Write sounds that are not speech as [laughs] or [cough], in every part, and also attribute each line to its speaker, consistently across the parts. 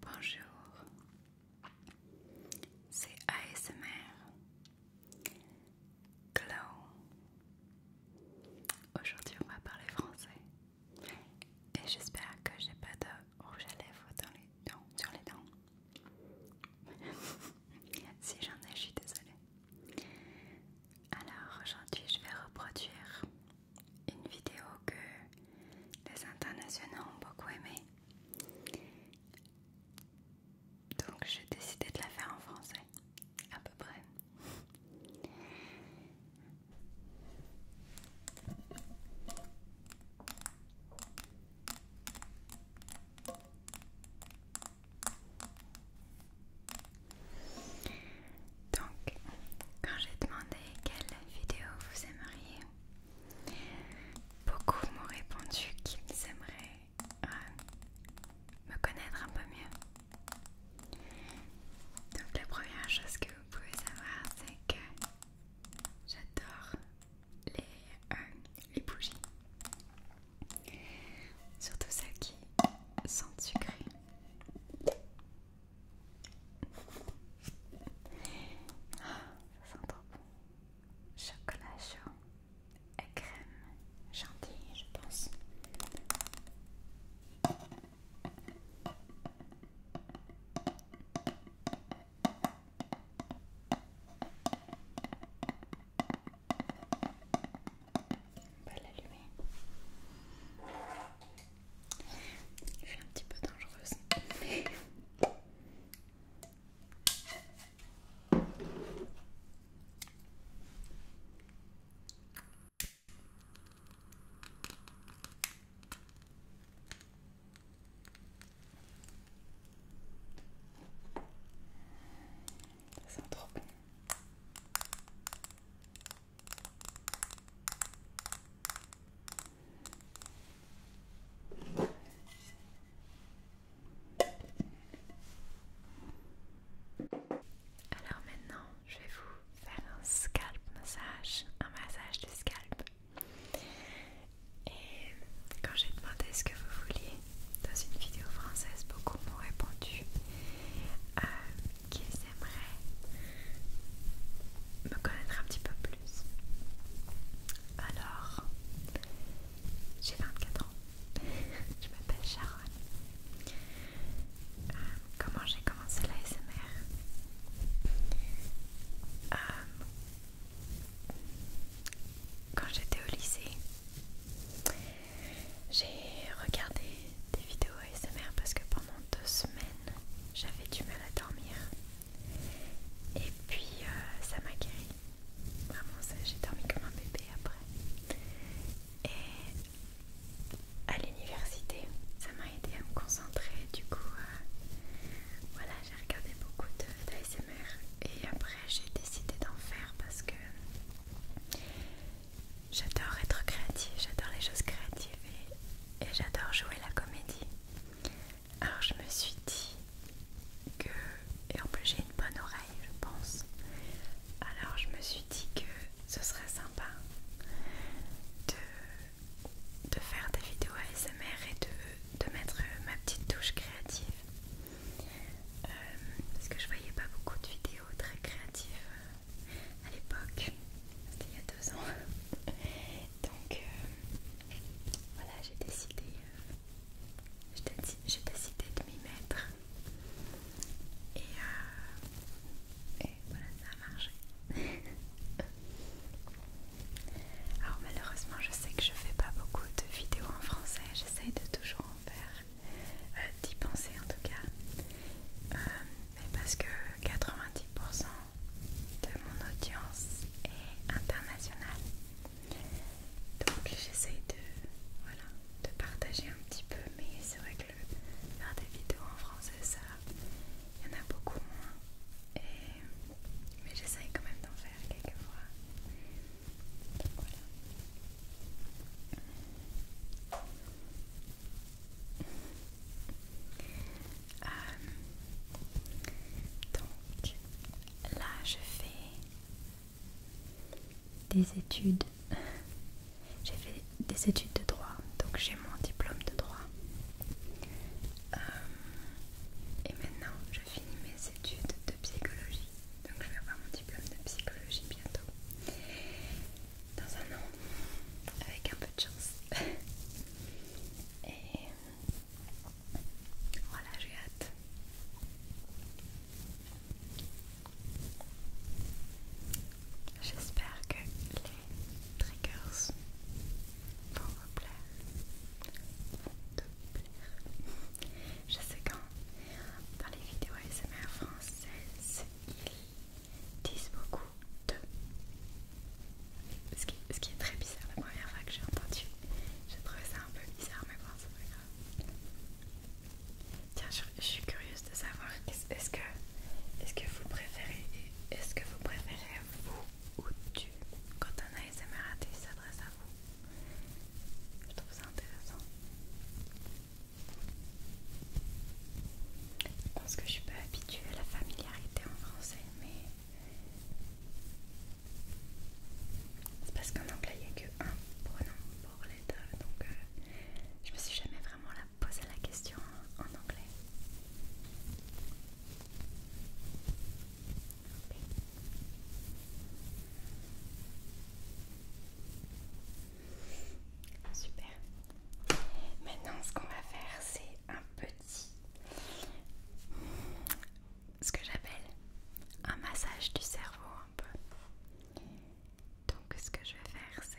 Speaker 1: Bonjour, c'est ASMR Glow. Aujourd'hui, on va parler français et j'espère que j'ai pas de rouge à lèvres sur les dents. [laughs] si j'en ai, je suis désolée. Alors aujourd'hui, je vais reproduire une vidéo que les internationaux ont beaucoup aimé Donc j'ai décidé de la faire en français, à peu près. Donc, quand j'ai demandé quelle vidéo vous aimeriez, beaucoup m'ont répondu qu'ils aimeraient euh, me connaître un peu mieux. Donc, la première chose que vous pouvez savoir, c'est que j'adore les, euh, les bougies, surtout celles qui sont sucré. Ça sent trop bon. Chocolat chaud et crème chantilly, je pense. On va l'allumer. C'est un petit peu dangereuse. Ça sent trop bon. Alors maintenant, je vais vous faire un scalp massage, un massage de scalp. Et quand j'ai demandé ce que vous vouliez dans une vidéo française, beaucoup m'ont répondu euh, qu'ils aimeraient me connaître un petit peu plus. Alors, j'ai 24 ans, [laughs] je m'appelle Sharon. Euh, comment j'ai commencé l'ASMR euh, Quand j'étais au lycée, j'ai regardé des vidéos ASMR parce que pendant deux semaines j'avais du mal à dormir et puis euh, ça m'a guéri vraiment ça, j'ai dormi comme un bébé après et à l'université ça m'a aidé à me concentrer du coup euh, voilà j'ai regardé beaucoup d'ASMR et après j'ai décidé d'en faire parce que J'adore être créative, j'adore les choses créatives et, j'adore jouer la comédie. Alors je me suis dit que, et en plus j'ai une bonne oreille je pense, alors je me suis dit que ce serait sympa de, faire des vidéos ASMR et de, mettre ma petite touche créative. Euh, parce que je voyais pas beaucoup de vidéos très créatives à l'époque, c'était il y a deux ans. [laughs] Donc euh, voilà, j'ai décidé, euh, j'ai décidé de m'y mettre. Euh, et, voilà, ça a marché. [laughs] Alors malheureusement, je sais que je fais pas beaucoup de vidéos en français. J'essaye de toujours en faire, d'y penser en tout cas mais parce que 90% de mon audience est internationale. Donc j'essaye de, voilà, de partager un petit peu, mais c'est vrai que faire des vidéos en français, ça, il y en a beaucoup moins. Et, mais j'essaye quand même d'en faire quelques fois voilà. Euh, donc là je fais des études. J'ai fait des études de droit, donc j'ai mon diplôme de droit. Euh, et maintenant je finis mes études de psychologie. Donc je vais avoir mon diplôme de psychologie bientôt dans un an, avec un peu de chance. Et voilà, j'ai hâte. J'espère que les triggers vont vous plaire. Vont te plaire. Je sais quand dans les vidéos ASMR françaises, il disent beaucoup de. Ce qui, est très bizarre la première fois que j'ai entendu. J'ai trouvé ça un peu bizarre, mais bon, c'est pas grave. Tiens, je, suis curieuse de savoir, est-ce que, est que vous préférez, est-ce que vous préférez vous ou tu quand un ASMR s'adresse à vous Je trouve ça intéressant. Je pense que je suis pas habituée à la familiarité en français, mais c'est parce qu'en anglais il n'y a que un pronom pour les deux, donc euh, je me suis jamais vraiment posé la question en anglais. Super. Maintenant, ce qu'on va faire, c'est un petit. ce que j'appelle un massage du cerveau un peu. Donc, ce que je vais faire, c'est.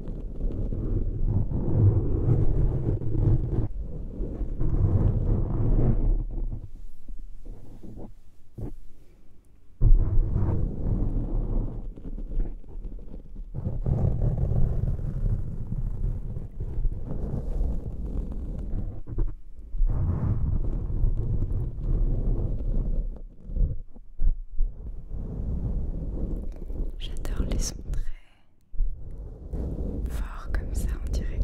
Speaker 1: J'adore les sons fort comme ça, on dirait,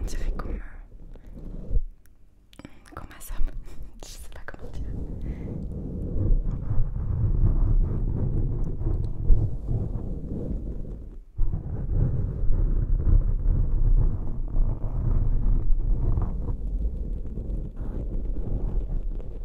Speaker 1: on dirait qu'on comme m'assomme, euh, [laughs] je sais pas comment dire.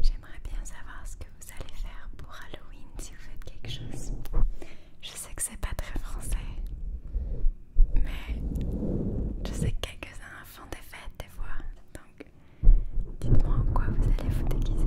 Speaker 1: J'aimerais bien savoir ce que vous allez faire pour Halloween si vous faites quelque chose. Je sais que c'est pas très français, mais je sais que quelques-uns font des fêtes des fois. Donc, dites-moi en quoi vous allez vous déguiser.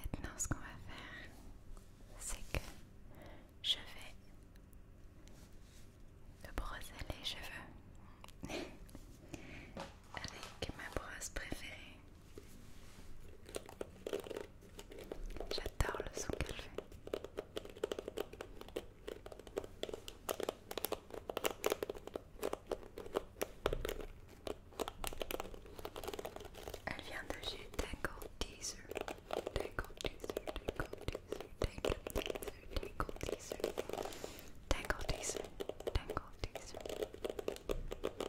Speaker 1: Maintenant, ce qu'on va faire, c'est que je vais te brosser les cheveux [laughs] avec ma brosse préférée. J'adore le son qu'elle fait. Elle vient de chez Tangle Teaser. Tangle Teaser, Tangle Teaser, Tangle Teaser, Tangle Teaser, Tangle Teaser, Tangle Teaser.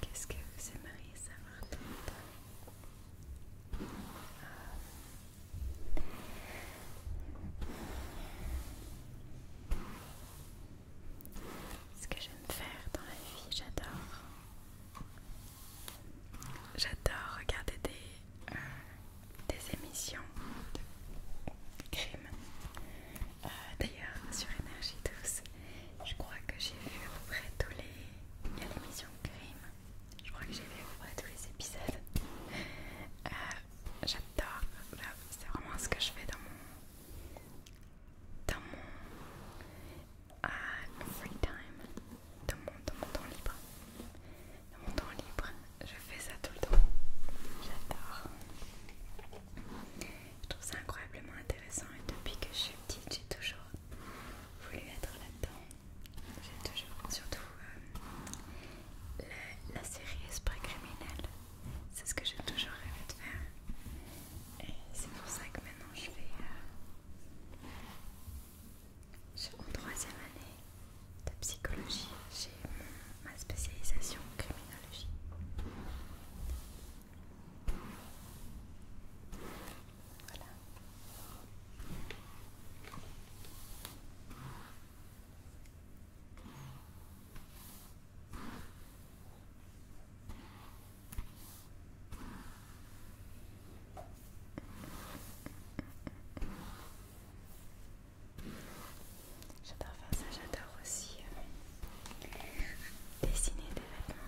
Speaker 1: Qu'est-ce que vous aimeriez savoir d'autre ce que j'aime faire dans la vie, j'adore. J'adore regarder des, euh, des émissions de crime. Euh, d'ailleurs, sur Énergie Douce, je crois que j'ai vu à peu près tous les. Émissions de Crime je crois que j'ai vu à tous les épisodes. Euh, j'adore. Bah, c'est vraiment ce que je fais dans mon, dans euh, free time, mon, dans mon temps libre. Dans mon temps libre, je fais ça tout le temps. J'adore. Je trouve ça incroyablement intéressant et depuis que je suis petite, j'ai toujours voulu être là-dedans. J'ai toujours, surtout euh, la série Esprit Criminel, c'est ce que j'ai toujours rêvé de faire. Et c'est pour ça que maintenant je vais. Euh, en troisième année de psychologie, j'ai ma spécialisation criminologie. Voilà. J'adore faire ça, j'adore aussi euh, dessiner des vêtements.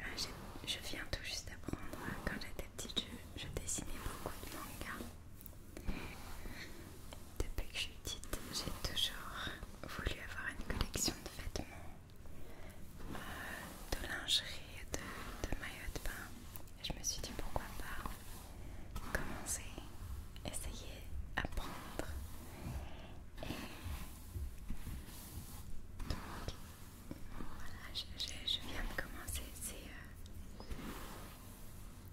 Speaker 1: Ah, je viens tout juste d'apprendre hein, quand j'étais je, dessinais beaucoup de mangas. Depuis que je suis petite, j'ai toujours voulu avoir une collection de vêtements, euh, de lingerie, de, maillot maillots de bain. Et je me suis dit pourquoi pas commencer, essayer, apprendre. Voilà, je, viens de commencer, euh,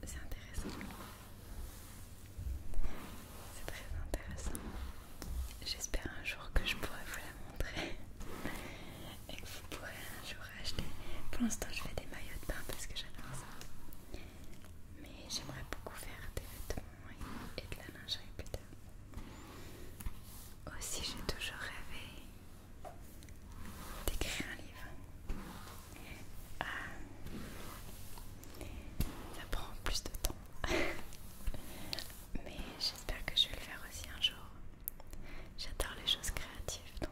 Speaker 1: c'est intéressant. C'est très intéressant. J'espère un jour que je pourrai vous la montrer [laughs] et que vous pourrez un jour acheter. Pour l'instant, je fais des maillots de bain parce que j'adore ça. Mais j'aimerais beaucoup faire des vêtements et de la lingerie plus tard. Aussi, j'ai toujours rêvé d'écrire un livre. Ah. ça prend plus de temps. Mais j'espère que je vais le faire aussi un jour. J'adore les choses créatives donc.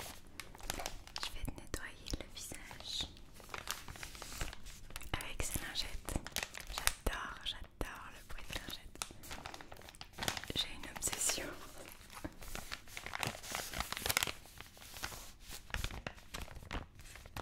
Speaker 1: Maintenant, je vais te nettoyer le visage avec ces lingettes. J'adore, j'adore le bruit de lingettes. J'ai une obsession.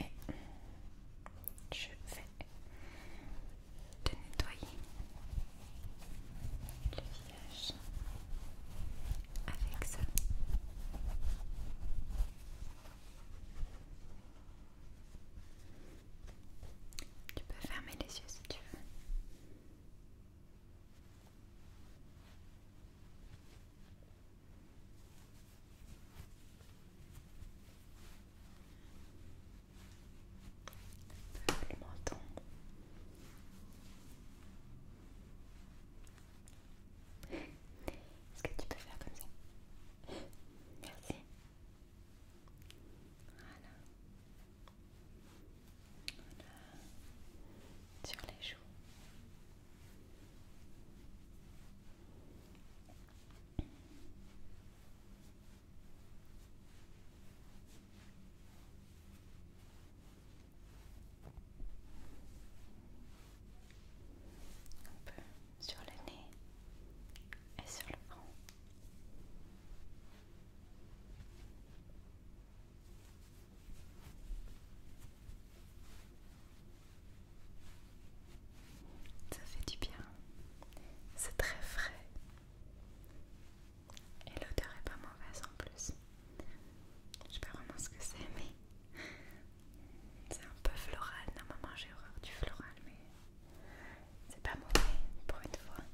Speaker 1: Et je vais te nettoyer le visage avec ça. Tu peux fermer les yeux si tu veux. Le menton. Est-ce que tu peux faire comme ça Merci. Voilà. Sur les joues. Un peu sur le nez et sur le front. Ça fait du bien, c'est très frais et l'odeur est pas mauvaise en plus. Je sais pas vraiment ce que c'est, mais c'est un peu floral. Normalement, j'ai horreur du floral, mais c'est pas mauvais pour une fois.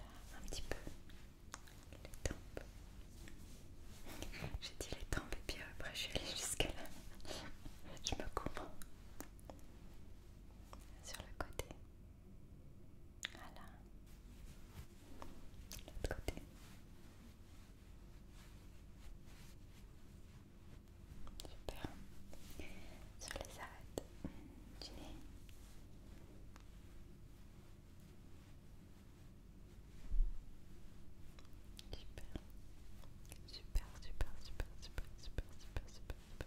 Speaker 1: Là, un petit peu les tempes. J'ai dit les tempes et puis après je suis allée jusqu'à là. Je me coupe sur le côté. Voilà. L'autre côté. Super. Sur les arêtes mmh, du nez. Super. Super, super, super, super, super, super, super, super.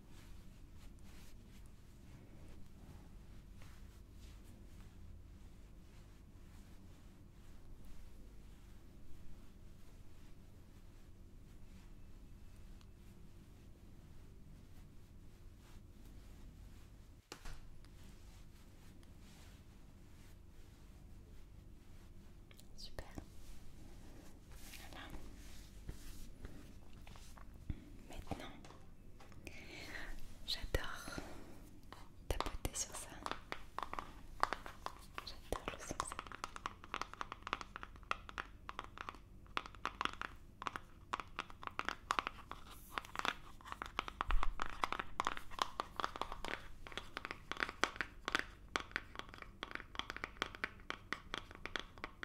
Speaker 1: Super. Voilà. Maintenant, j'adore tapoter sur ça. J'adore le son de ça.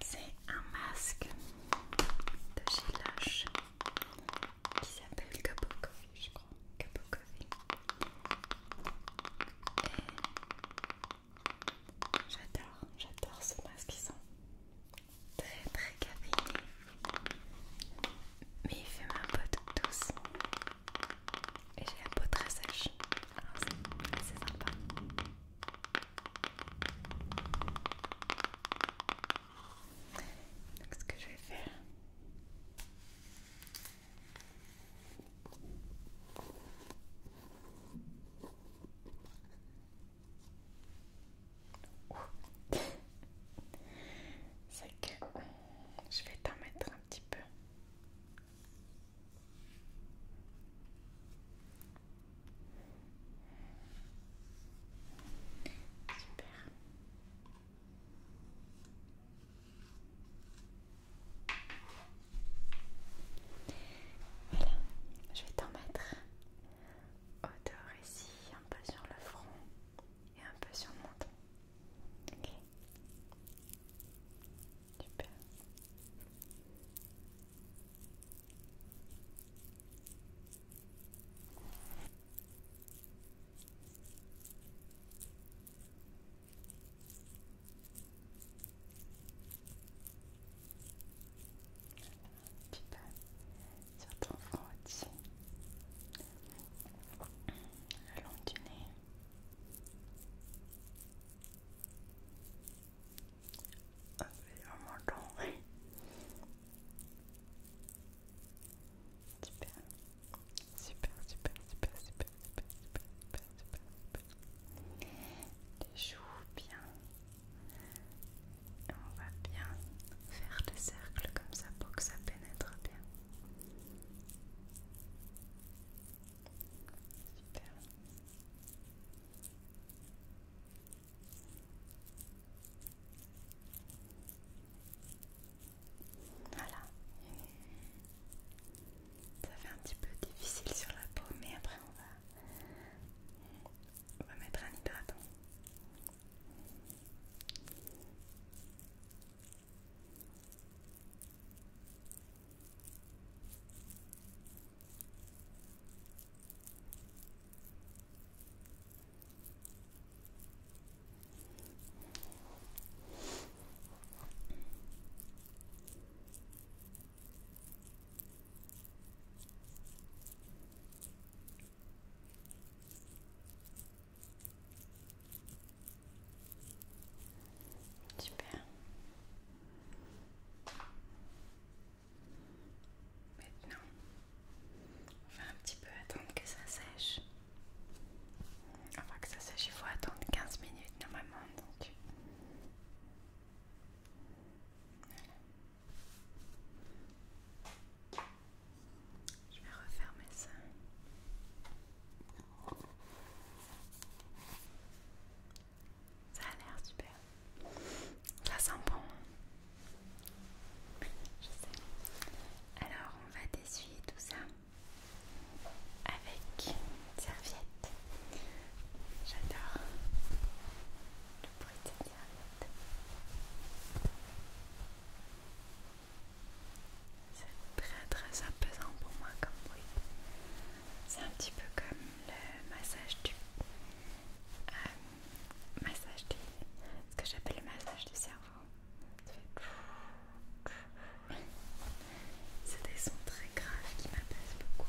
Speaker 1: C'est un masque de chez qui s'appelle Capo Coffee, je crois. Et j'adore, j'adore ce masque. qui très très caféiné, mais il fait ma peau douce et j'ai la peau très sèche, alors c'est assez sympa. Donc ce que je vais faire, c'est euh, je vais t'en mettre un petit peu. Super. Voilà, je vais t'en mettre Odeur ici, un peu sur le front et un peu sur le menton. Super, sur ton front aussi, le long du nez, super, super, super, super, super, super, super, les joues Bien, on va bien faire des cercles comme ça pour que ça pénètre bien. Super. Voilà. Ça fait un petit peu difficile sur la peau, mais après on va on va mettre un hydratant. Super. Maintenant, on va un petit peu attendre que ça sèche. Enfin que ça sèche, il faut attendre 15 minutes normalement. Donc. Je vais refermer ça. Ça a l'air super. Ça sent bon. Je sais. Alors, on va dessuyer tout ça avec une serviette. J'adore le bruit c'est très très apaisant pour moi comme bruit. C'est un petit peu comme le massage du... Euh, massage du... ce que j'appelle le massage du cerveau. [laughs] C'est des sons très graves qui m'apaisent beaucoup.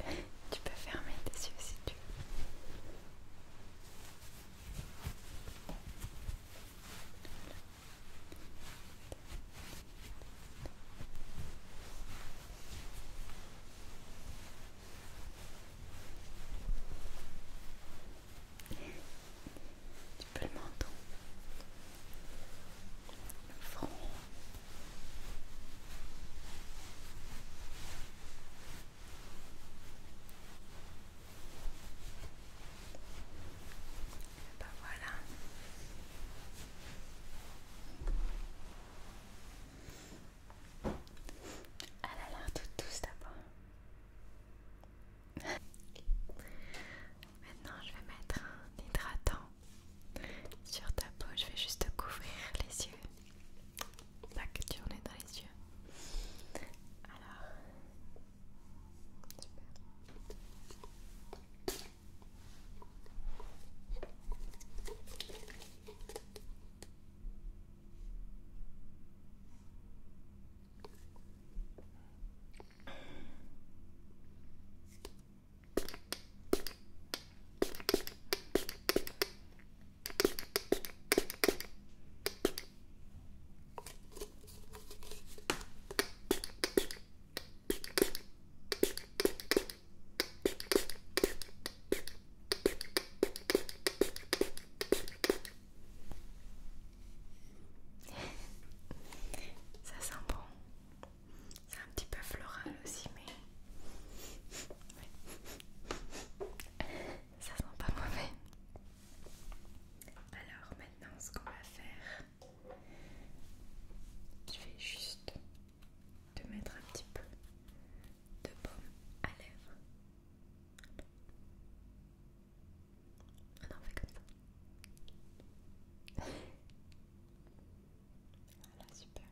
Speaker 1: [laughs] tu peux fermer tes yeux si tu veux. Tu peux le menton le front. voilà. Elle a l'air toute douce d'abord. [laughs] Maintenant, je vais mettre un hydratant sur ta peau. Je vais juste couvrir les yeux, pas que tu en aies dans les yeux. Alors, ça sent bon. C'est un petit peu floral aussi, mais [laughs] ça sent pas mauvais. Alors maintenant, ce qu'on va faire, je vais juste te mettre un petit peu de baume à lèvres. Ah non, fait comme ça. Voilà, super.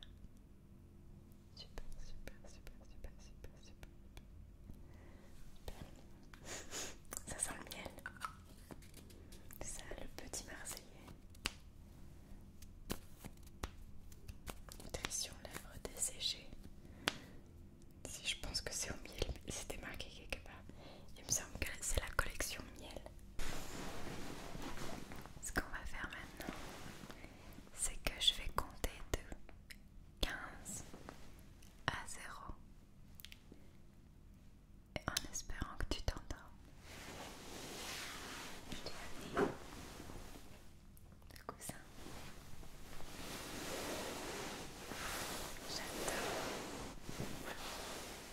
Speaker 1: Super, super, super, super, super, super. Ça sent le miel. ça, le petit marseillais. Nutrition lèvres desséchées. Si je pense que c'est au miel, c'était marqué quelque part. Il me semble que c'est la collection miel. Ce qu'on va faire maintenant, c'est que je vais compter de 15 à 0 et en espérant que tu t'endors. Je t'ai venir, le coussin. J'adore.